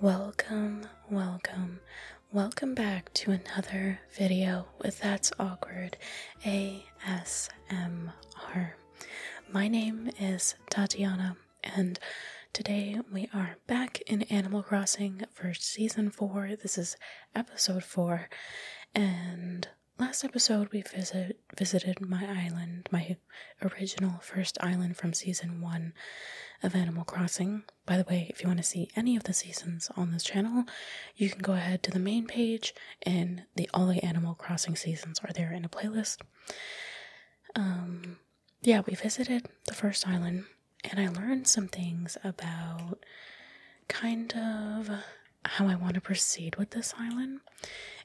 Welcome, welcome, welcome back to another video with That's Awkward ASMR. My name is Tatiana, and today we are back in Animal Crossing for season 4. This is episode 4, and last episode we visit, visited my island, my original first island from season 1 of Animal Crossing. By the way, if you want to see any of the seasons on this channel, you can go ahead to the main page, and the all the Animal Crossing seasons are there in a playlist. Um, yeah, we visited the first island, and I learned some things about kind of how I want to proceed with this island.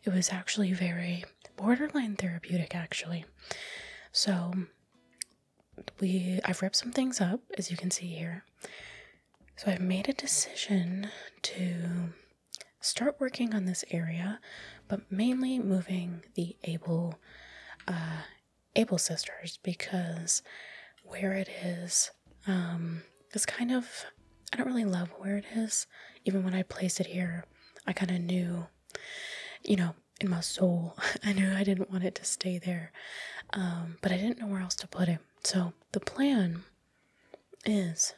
It was actually very borderline therapeutic, actually. So, we I've ripped some things up as you can see here. So I've made a decision to start working on this area, but mainly moving the able uh able sisters because where it is um it's kind of I don't really love where it is. Even when I placed it here, I kind of knew you know, in my soul. I knew I didn't want it to stay there, um, but I didn't know where else to put it. So the plan is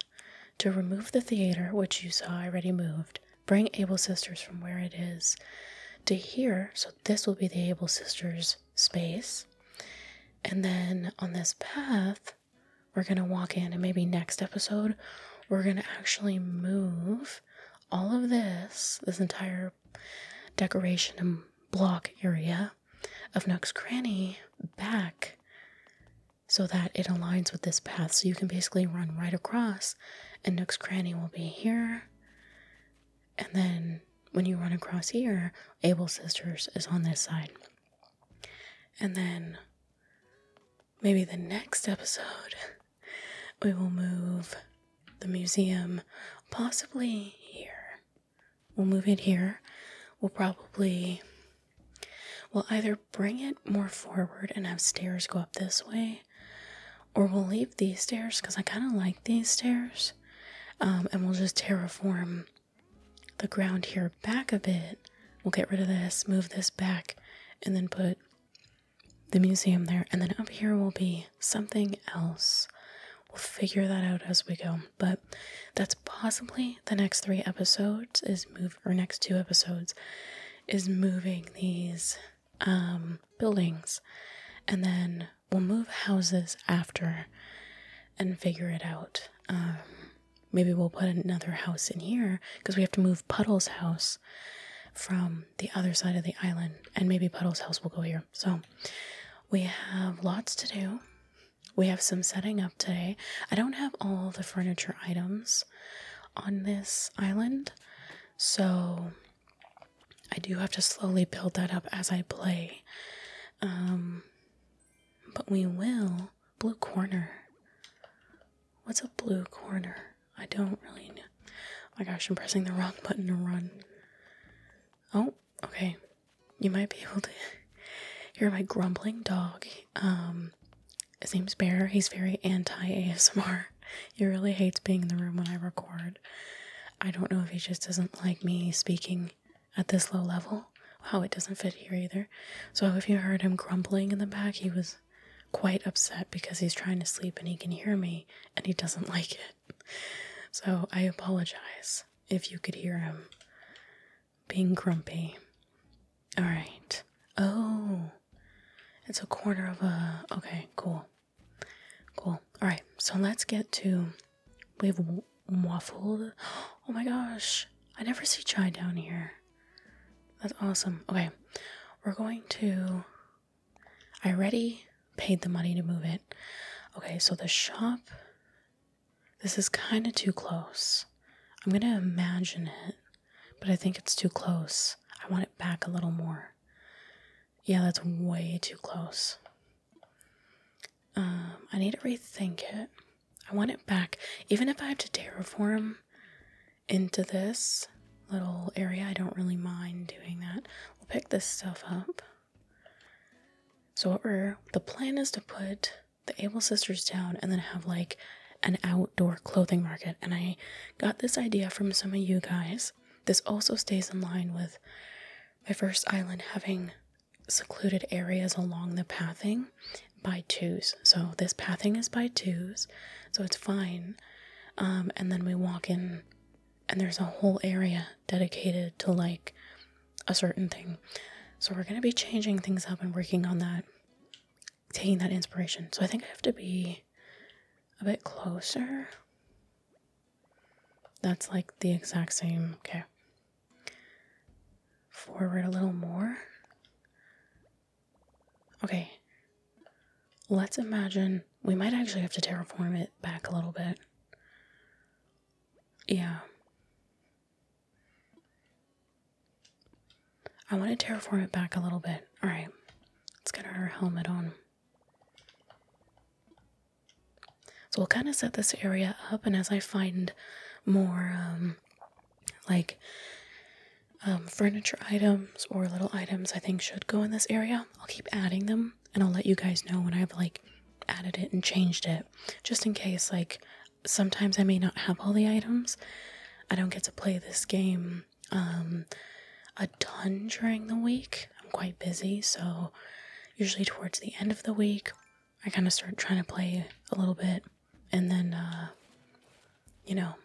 to remove the theater, which you saw I already moved, bring Able Sisters from where it is to here. So this will be the Able Sisters space. And then on this path, we're going to walk in, and maybe next episode, we're going to actually move all of this, this entire decoration and block area of Nook's Cranny back so that it aligns with this path. So you can basically run right across, and Nook's Cranny will be here. And then when you run across here, Able Sisters is on this side. And then maybe the next episode, we will move the museum possibly here. We'll move it here. We'll probably. We'll either bring it more forward and have stairs go up this way, or we'll leave these stairs because I kind of like these stairs. Um, and we'll just terraform the ground here back a bit. We'll get rid of this, move this back, and then put the museum there. And then up here will be something else. We'll figure that out as we go. But that's possibly the next three episodes is move or next two episodes is moving these um, buildings. And then we'll move houses after and figure it out. Um, maybe we'll put another house in here because we have to move Puddle's house from the other side of the island, and maybe Puddle's house will go here. So we have lots to do. We have some setting up today. I don't have all the furniture items on this island, so I do have to slowly build that up as I play. Um, but we will. Blue corner. What's a blue corner? I don't really know. Oh my gosh, I'm pressing the wrong button to run. Oh, okay. You might be able to hear my grumbling dog. Um, his name's Bear. He's very anti ASMR. He really hates being in the room when I record. I don't know if he just doesn't like me speaking at this low level. Wow, it doesn't fit here either. So if you heard him grumbling in the back, he was quite upset because he's trying to sleep and he can hear me and he doesn't like it. So I apologize if you could hear him being grumpy. All right. Oh. It's a corner of a Okay, cool. Cool. All right. So let's get to we have waffle. Oh my gosh. I never see chai down here. That's awesome. Okay. We're going to I already paid the money to move it. Okay, so the shop, this is kind of too close. I'm going to imagine it, but I think it's too close. I want it back a little more. Yeah, that's way too close. Um, I need to rethink it. I want it back. Even if I have to terraform into this little area. I don't really mind doing that. We'll pick this stuff up. So what we're the plan is to put the Able Sisters down and then have like an outdoor clothing market. And I got this idea from some of you guys. This also stays in line with my first island having secluded areas along the pathing by twos. So this pathing is by twos, so it's fine um, and then we walk in, and there's a whole area dedicated to like a certain thing. So we're going to be changing things up and working on that, taking that inspiration. So I think I have to be a bit closer. That's like the exact same. Okay. Forward a little more. Okay. Let's imagine we might actually have to terraform it back a little bit. Yeah. I want to terraform it back a little bit. Alright. Let's get our helmet on. So we'll kind of set this area up, and as I find more, um, like, um, furniture items or little items I think should go in this area. I'll keep adding them and I'll let you guys know when I've like added it and changed it just in case like sometimes I may not have all the items. I don't get to play this game um, a ton during the week. I'm quite busy, so usually towards the end of the week, I kind of start trying to play a little bit and then, uh, you know,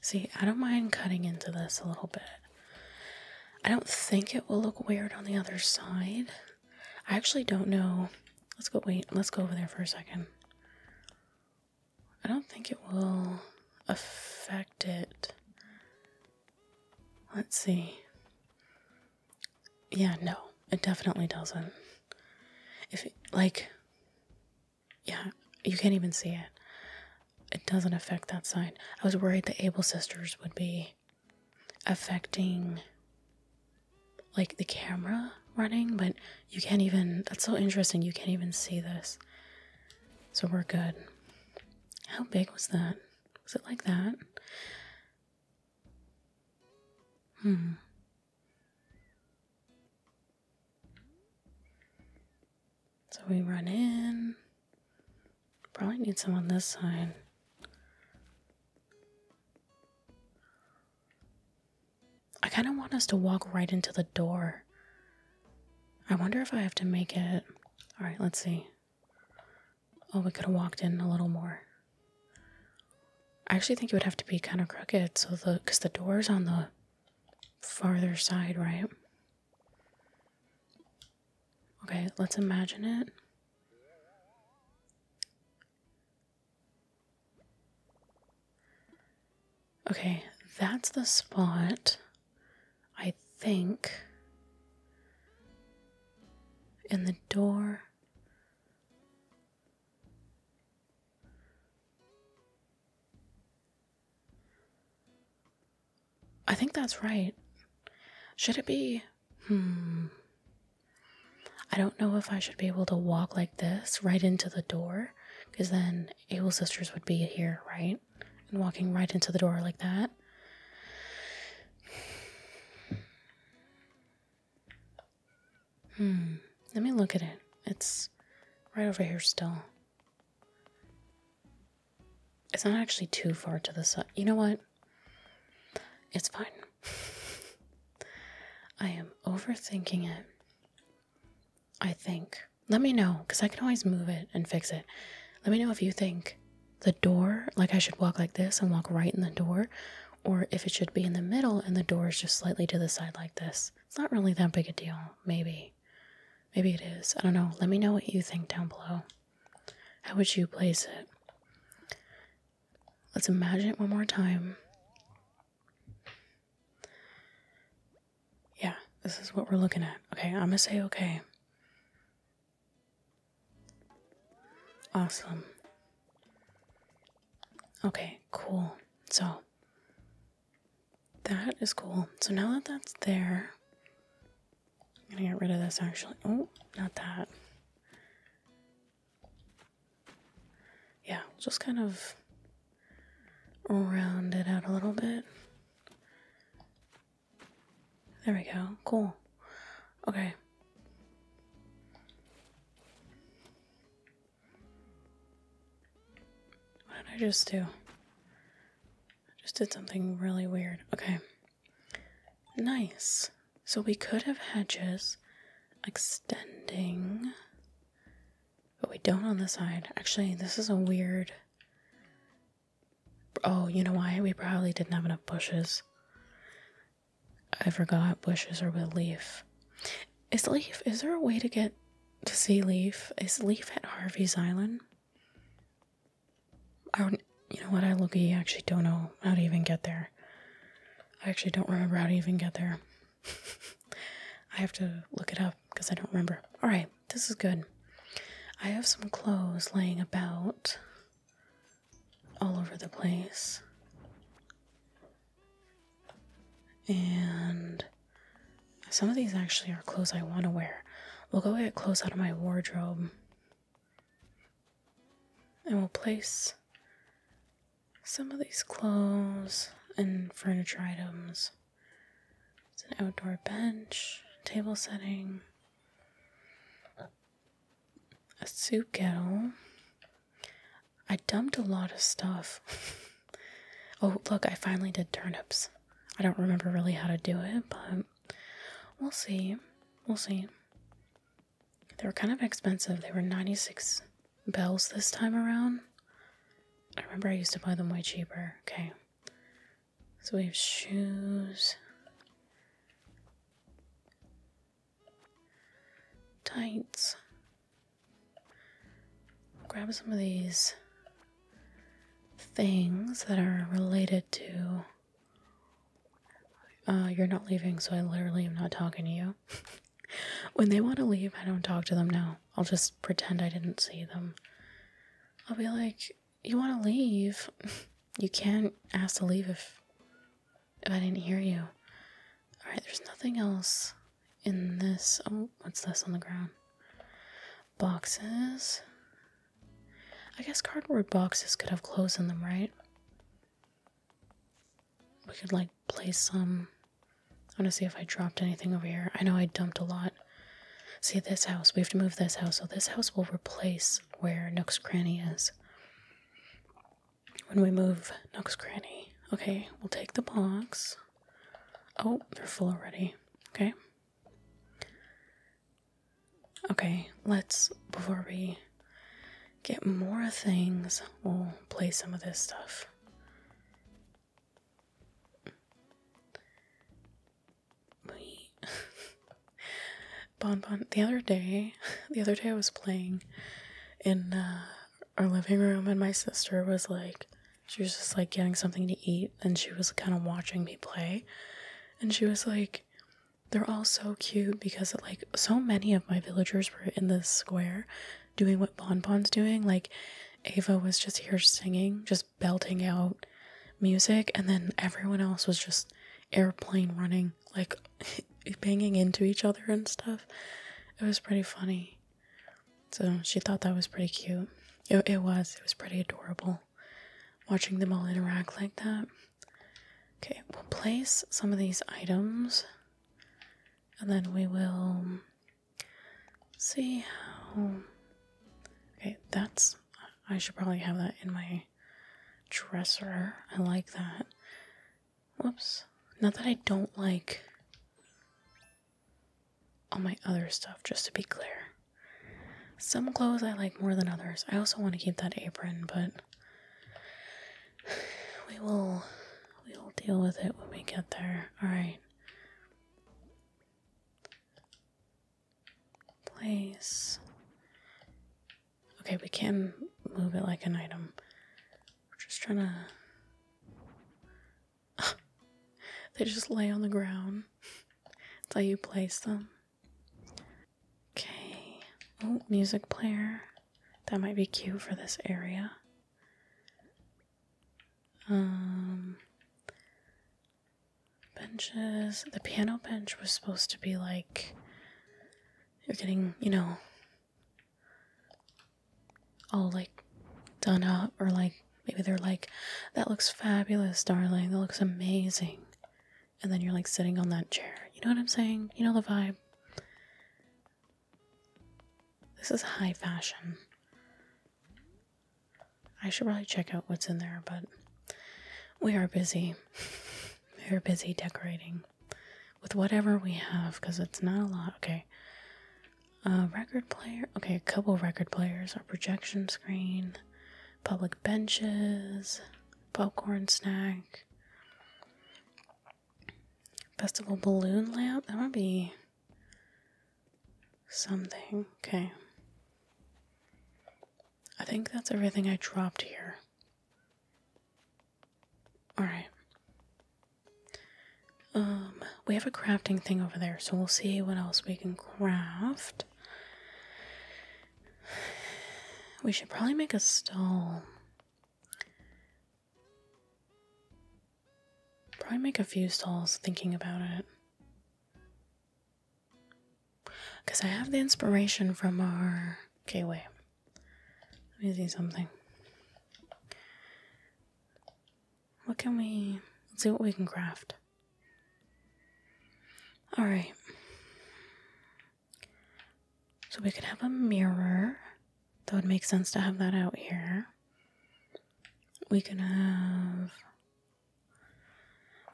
See, I don't mind cutting into this a little bit. I don't think it will look weird on the other side. I actually don't know. Let's go, wait, let's go over there for a second. I don't think it will affect it. Let's see. Yeah, no, it definitely doesn't. If, it, like, yeah, you can't even see it. It doesn't affect that side. I was worried the Able Sisters would be affecting like the camera running, but you can't even. That's so interesting. You can't even see this. So we're good. How big was that? Was it like that? Hmm. So we run in. Probably need some on this side. I kind of want us to walk right into the door. I wonder if I have to make it. Alright, let's see. Oh, we could have walked in a little more. I actually think it would have to be kind of crooked, so the because the door's on the farther side, right? Okay, let's imagine it. Okay, that's the spot. I think. In the door. I think that's right. Should it be. Hmm. I don't know if I should be able to walk like this right into the door, because then Abel's sisters would be here, right? And walking right into the door like that. Hmm. Let me look at it. It's right over here still. It's not actually too far to the side. You know what? It's fine. I am overthinking it. I think. Let me know, because I can always move it and fix it. Let me know if you think the door, like I should walk like this and walk right in the door, or if it should be in the middle and the door is just slightly to the side like this. It's not really that big a deal, maybe maybe. it is. I don't know. Let me know what you think down below. How would you place it? Let's imagine it one more time. Yeah, this is what we're looking at. Okay, I'm gonna say okay. Awesome. Okay, cool. So, that is cool. So now that that's there, I'm gonna get rid of this actually. Oh, not that. Yeah, just kind of round it out a little bit. There we go. Cool. Okay. What did I just do? I just did something really weird. Okay. Nice. So we could have hedges extending, but we don't on the side. Actually, this is a weird. Oh, you know why? We probably didn't have enough bushes. I forgot bushes are with leaf. Is leaf, is there a way to get to see Leaf. Is Leaf at Harvey's Island? I don't, you know what? I look. I actually don't know how to even get there. I actually don't remember how to even get there. I have to look it up because I don't remember. All right, this is good. I have some clothes laying about all over the place. And some of these actually are clothes I want to wear. We'll go get clothes out of my wardrobe. And we'll place some of these clothes and furniture items. It's an outdoor bench, table setting, a soup kettle. I dumped a lot of stuff. Oh, look, I finally did turnips. I don't remember really how to do it, but we'll see. We'll see. They were kind of expensive. They were 96 bells this time around. I remember I used to buy them way cheaper. Okay. So we have shoes. Tights grab some of these things that are related to. Uh, you're not leaving, so I literally am not talking to you. when they want to leave, I don't talk to them No, I'll just pretend I didn't see them. I'll be like, You want to leave? you can't ask to leave if, if I didn't hear you. Alright, there's nothing else in this. Oh, what's this on the ground? Boxes. I guess cardboard boxes could have clothes in them, right? We could like place some. I want to see if I dropped anything over here. I know I dumped a lot. See, this house, we have to move this house, so this house will replace where Nook's Cranny is. When we move Nook's Cranny. Okay, we'll take the box. Oh, they're full already. Okay. Okay, let's, before we get more things, we'll play some of this stuff. We. Bon Bon. The other day, the other day I was playing in uh, our living room, and my sister was like, she was just like getting something to eat and she was kind of watching me play and she was like they're all so cute because like so many of my villagers were in the square doing what Bon Bon's doing like ava was just here singing just belting out music and then everyone else was just airplane running like banging into each other and stuff it was pretty funny so she thought that was pretty cute. It, was, it was pretty adorable watching them all interact like that. Okay, we'll place some of these items and then we will see how. Okay, that's. I should probably have that in my dresser. I like that. Whoops. Not that I don't like all my other stuff, just to be clear. Some clothes I like more than others. I also want to keep that apron, but we will we will deal with it when we get there. All right. Place. Okay, we can move it like an item. We're just trying to they just lay on the ground. That's how you place them. Okay. Oh, music player. That might be cute for this area. Um benches. The piano bench was supposed to be like you're getting, you know, all like done up or like maybe they're like that looks fabulous darling that looks amazing and then you're like sitting on that chair you know what i'm saying you know the vibe this is high fashion i should probably check out what's in there but we are busy we are busy decorating with whatever we have because it's not a lot okay a record player. Okay, a couple record players. Our projection screen, public benches, popcorn snack, festival balloon lamp. That might be something. Okay. I think that's everything I dropped here. Alright. Um, we have a crafting thing over there, so we'll see what else we can craft. We should probably make a stall. Probably make a few stalls thinking about it. Because I have the inspiration from our. Okay, wait. Let me see something. What can we let's see what we can craft? Alright. So we could have a mirror. That would make sense to have that out here. We can have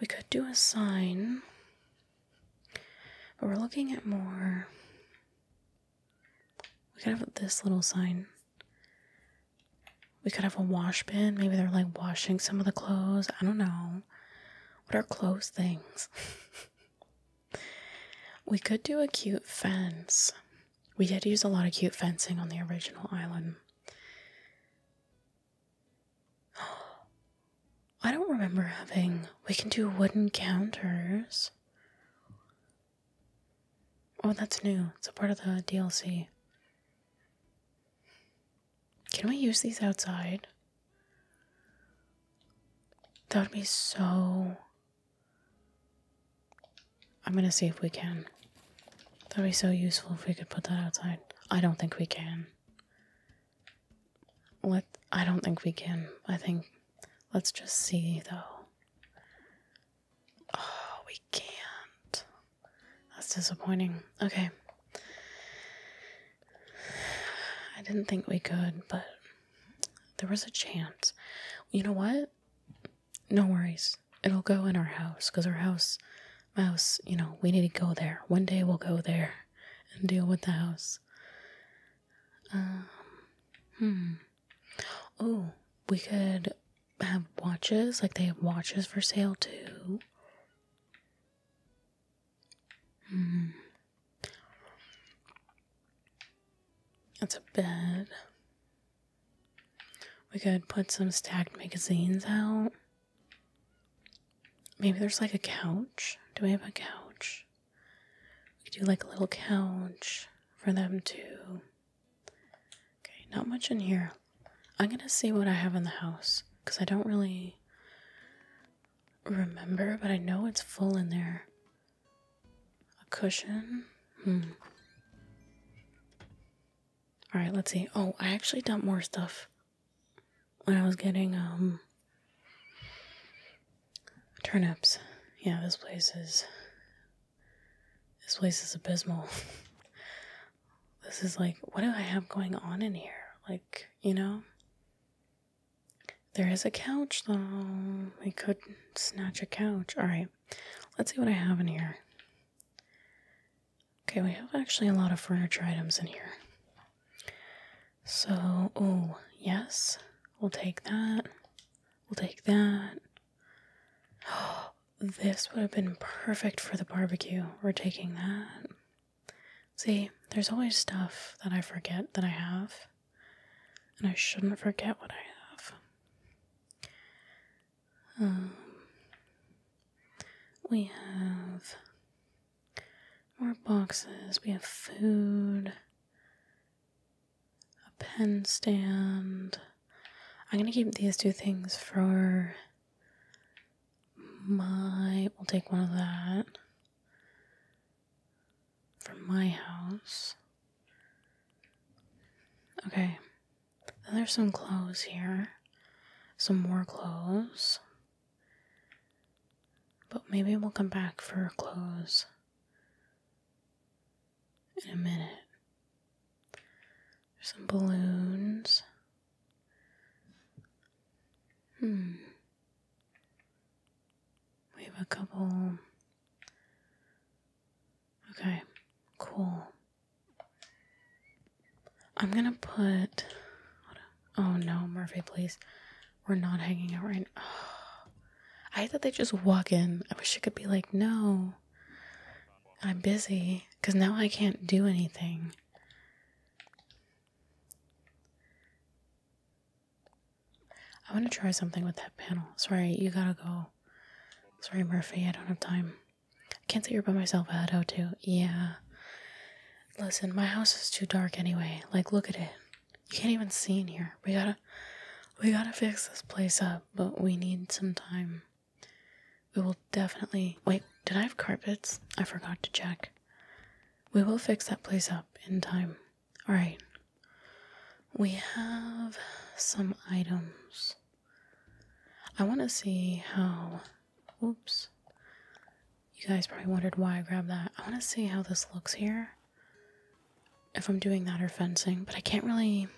we could do a sign. But we're looking at more. We could have this little sign. We could have a wash bin. Maybe they're like washing some of the clothes. I don't know. What are clothes things? we could do a cute fence. We did use a lot of cute fencing on the original island. I don't remember having. We can do wooden counters. Oh, that's new. It's a part of the DLC. Can we use these outside? That would be so. I'm gonna see if we can. That would be so useful if we could put that outside. I don't think we can. Let I don't think we can. I think let's just see though. Oh, we can't. That's disappointing. Okay. I didn't think we could, but there was a chance. You know what? No worries. It'll go in our house because our house, mouse. you know, we need to go there. One day we'll go there and deal with the house. Um, hmm. Oh, we could have watches. Like they have watches for sale too. Hmm. That's a bed. We could put some stacked magazines out. Maybe there's like a couch. Do we have a couch? We could do like a little couch for them too. Okay, not much in here. I'm gonna see what I have in the house because I don't really remember, but I know it's full in there. A cushion? Hmm. Alright, let's see. Oh, I actually dumped more stuff when I was getting, um, turnips. Yeah, this place is this place is abysmal. this is like, what do I have going on in here? Like, you know? There is a couch though. We could snatch a couch. Alright, let's see what I have in here. Okay, we have actually a lot of furniture items in here. So, oh, yes, we'll take that. We'll take that. Oh, this would have been perfect for the barbecue. We're taking that. See, there's always stuff that I forget that I have, and I shouldn't forget what I have. Um, we have more boxes, we have food, a pen stand. I'm gonna keep these two things for my. We'll take one of that from my house. Okay. Then there's some clothes here. Some more clothes. But maybe we'll come back for clothes in a minute. There's some balloons. Hmm. We have a couple. Okay, cool. I'm gonna put. Oh no, Murphy, please. We're not hanging out right now. I thought that they just walk in. I wish it could be like, no, I'm busy because now I can't do anything. I want to try something with that panel. Sorry, you gotta go. Sorry, Murphy, I don't have time. I can't sit here by myself. at had to. Yeah. Listen, my house is too dark anyway. Like, look at it. You can't even see in here. We gotta, we gotta fix this place up, but we need some time. We will definitely. Wait, did I have carpets? I forgot to check. We will fix that place up in time. Alright. We have some items. I want to see how. Oops. You guys probably wondered why I grabbed that. I want to see how this looks here. If I'm doing that or fencing, but I can't really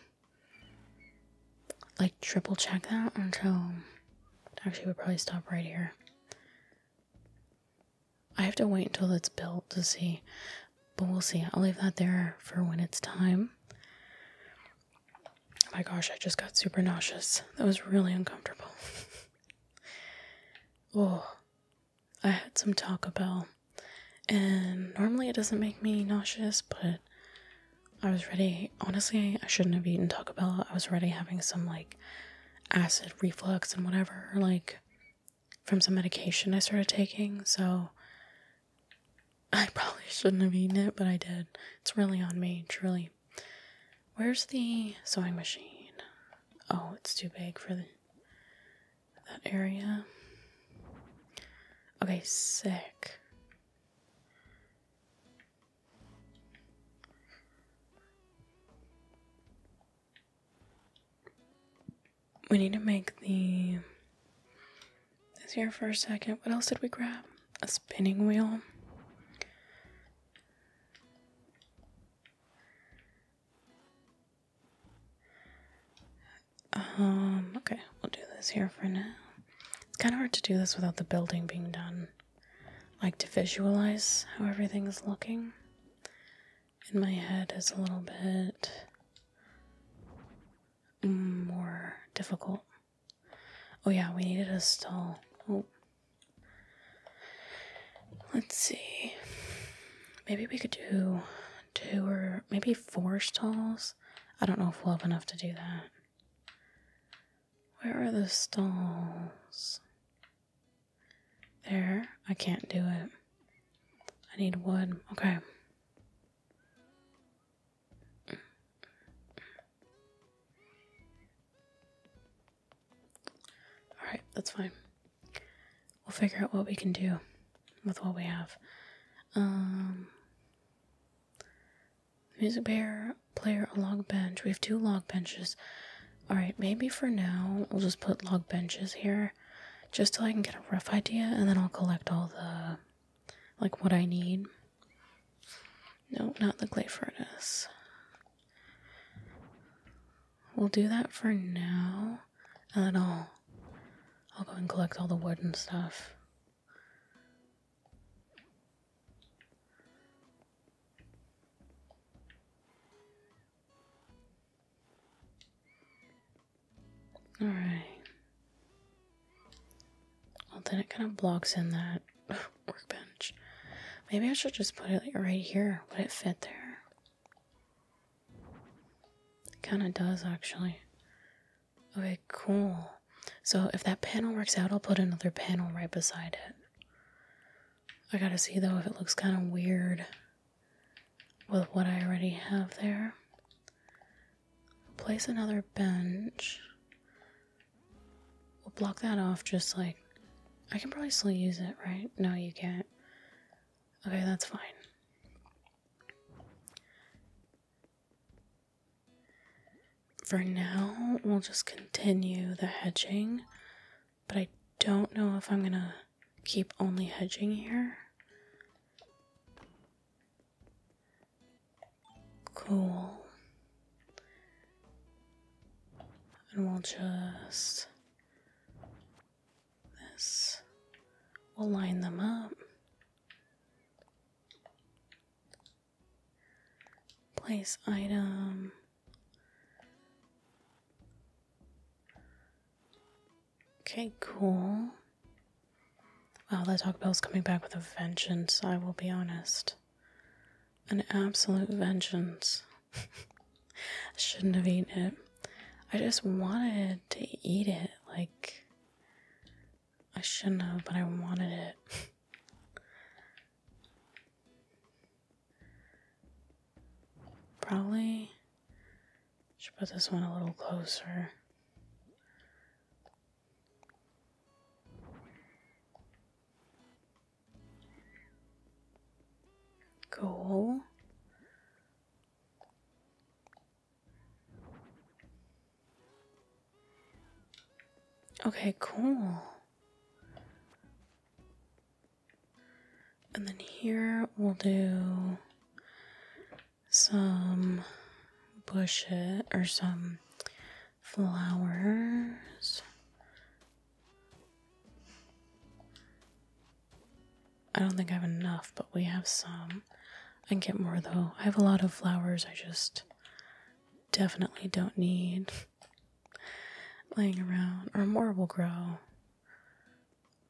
like triple check that until actually we'll probably stop right here. I have to wait until it's built to see, but we'll see. I'll leave that there for when it's time. Oh my gosh, I just got super nauseous. That was really uncomfortable. oh, I had some Taco Bell and normally it doesn't make me nauseous, but I was ready. Honestly, I shouldn't have eaten Taco Bell. I was already having some like acid reflux and whatever, like from some medication I started taking, so I probably shouldn't have eaten it, but I did. It's really on me, truly. Where's the sewing machine? Oh, it's too big for that area. Okay, sick. We need to make the. This here for a second. What else did we grab? A spinning wheel. Um, okay, we'll do this here for now. It's kind of hard to do this without the building being done. like to visualize how everything is looking. And my head is a little bit more difficult. Oh yeah, we needed a stall. Oh. Let's see. Maybe we could do two or maybe four stalls. I don't know if we'll have enough to do that. Where are the stalls? There. I can't do it. I need wood. Okay. Alright, that's fine. We'll figure out what we can do with what we have. Um, Music player, player, a log bench. We have two log benches. Alright, maybe for now we'll just put log benches here just till I can get a rough idea and then I'll collect all the, like, what I need. No, not the clay furnace. We'll do that for now and then I'll, I'll go and collect all the wood and stuff. All right. Well, then it kind of blocks in that workbench. Maybe I should just put it right here. Would it fit there? It kind of does, actually. Okay, cool. So if that panel works out, I'll put another panel right beside it. I gotta see though if it looks kind of weird with what I already have there. Place another bench. We'll block that off just like. I can probably still use it, right? No, you can't. Okay, that's fine. For now, we'll just continue the hedging, but I don't know if I'm gonna keep only hedging here. Cool. And we'll just. This. We'll line them up. Place item. Okay, cool. Wow, that dog bell's coming back with a vengeance, I will be honest. An absolute vengeance. Shouldn't have eaten it. I just wanted to eat it, like I shouldn't have, but I wanted it. Probably should put this one a little closer. Goal. Okay, cool. And then here we'll do some bushes or some flowers. I don't think I have enough, but we have some. And get more though. I have a lot of flowers I just definitely don't need laying around, or more will grow.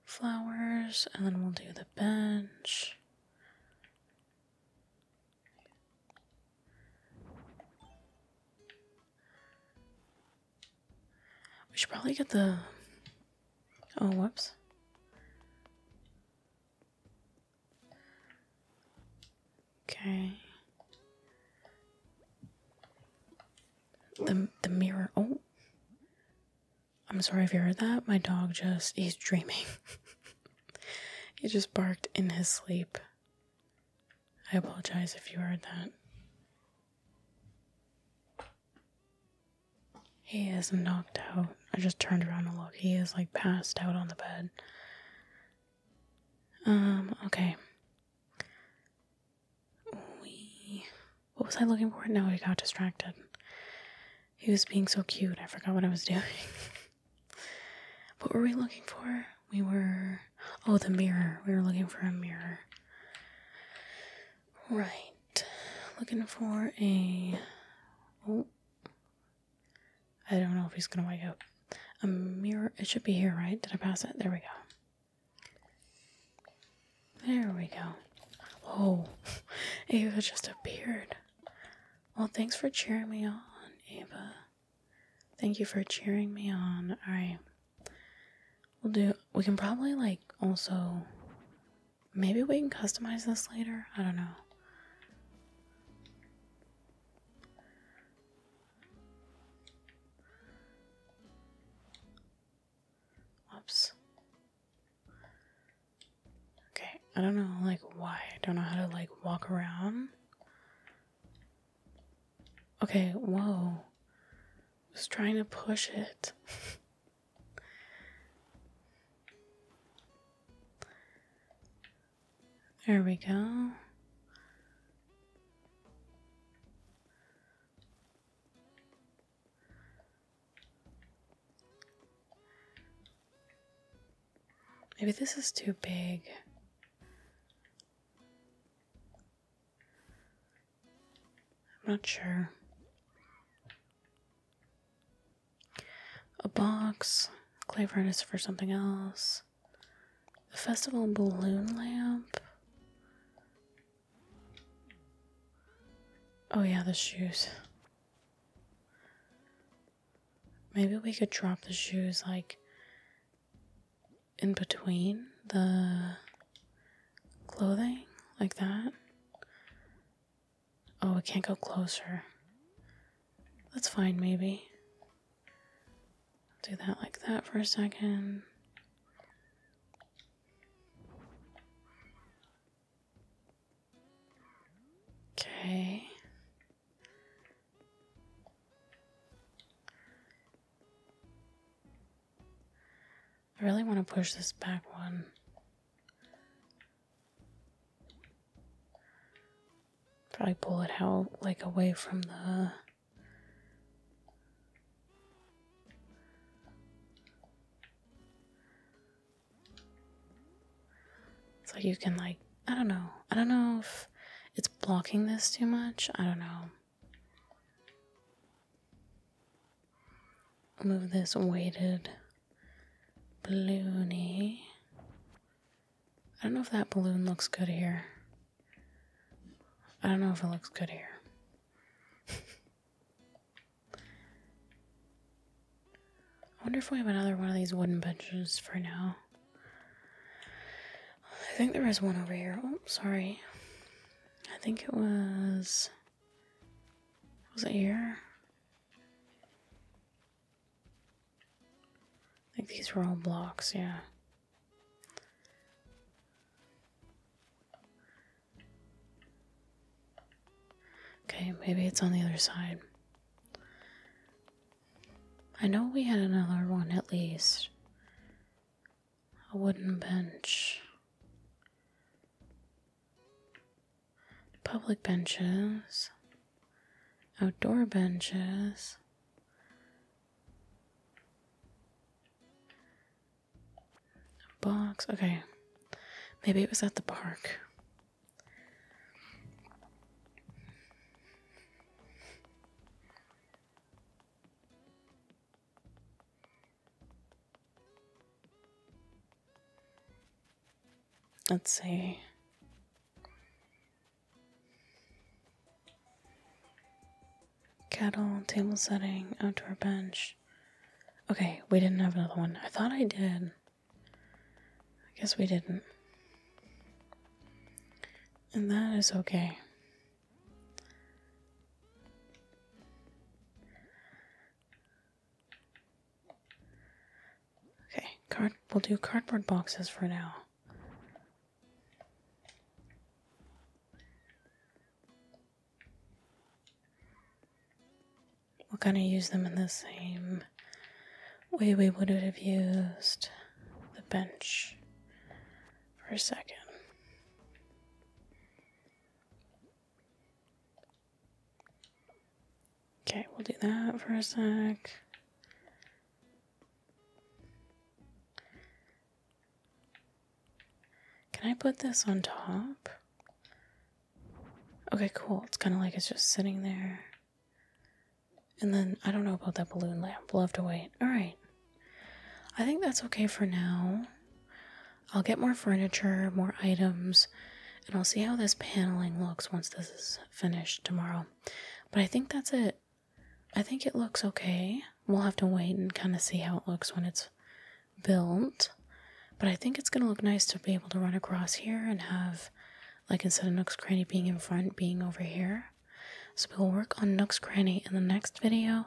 Flowers, and then we'll do the bench. We should probably get the. Oh, whoops. Okay. The the mirror. Oh. I'm sorry if you heard that. My dog just he's dreaming. he just barked in his sleep. I apologize if you heard that. He is knocked out. I just turned around to look. He is like passed out on the bed. Um, okay. We. What was I looking for? Now I got distracted. He was being so cute. I forgot what I was doing. what were we looking for? We were. Oh, the mirror. We were looking for a mirror. Right. Looking for a. Oh, I don't know if he's gonna wake up. A mirror. It should be here, right? Did I pass it? There we go. There we go. Oh, Ava just appeared. Well, thanks for cheering me on, Ava. Thank you for cheering me on. All right. We'll do. We can probably like also Maybe we can customize this later. I don't know. Whoops. Okay, I don't know like why. I don't know how to like walk around. Okay, whoa. I was trying to push it. There we go. Maybe this is too big. I'm not sure a box. Clay furnace for something else. The festival balloon lamp. Oh, yeah, the shoes. Maybe we could drop the shoes like in between the clothing, like that. Oh, I can't go closer. That's fine, maybe. Do that like that for a second. Okay. I really want to push this back one. Probably pull it out, like, away from the... So you can, like, I don't know. I don't know if it's blocking this too much. I don't know. Move this weighted balloony. I don't know if that balloon looks good here. I don't know if it looks good here. I wonder if we have another one of these wooden benches for now. I think there is one over here. Oh, sorry. I think it was. Was it here? Like these were all blocks, yeah. Okay, maybe it's on the other side. I know we had another one at least. A wooden bench public benches, outdoor benches. A box. Okay. Maybe it was at the park. Let's see. Kettle, table setting, outdoor bench. Okay, we didn't have another one. I thought I did. I guess we didn't. And that is okay. Okay, we'll do cardboard boxes for now. We'll kind of use them in the same way we would have used the bench for a second. Okay, we'll do that for a sec. Can I put this on top? Okay, cool. It's kind of like it's just sitting there. And then I don't know about that balloon lamp. We'll have to wait. All right. I think that's okay for now. I'll get more furniture, more items, and I'll see how this paneling looks once this is finished tomorrow. But I think that's it. I think it looks okay. We'll have to wait and kind of see how it looks when it's built. But I think it's going to look nice to be able to run across here and have, like, instead of Nook's Cranny being in front, being over here. So we'll work on Nook's Cranny in the next video.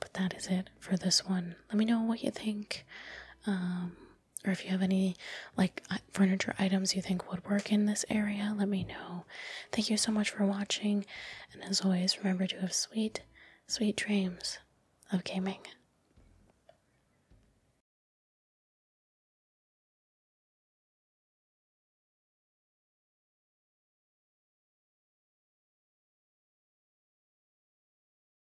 But that is it for this one. Let me know what you think. Um, or if you have any like furniture items you think would work in this area, let me know. Thank you so much for watching, and as always, remember to have sweet, sweet dreams of gaming.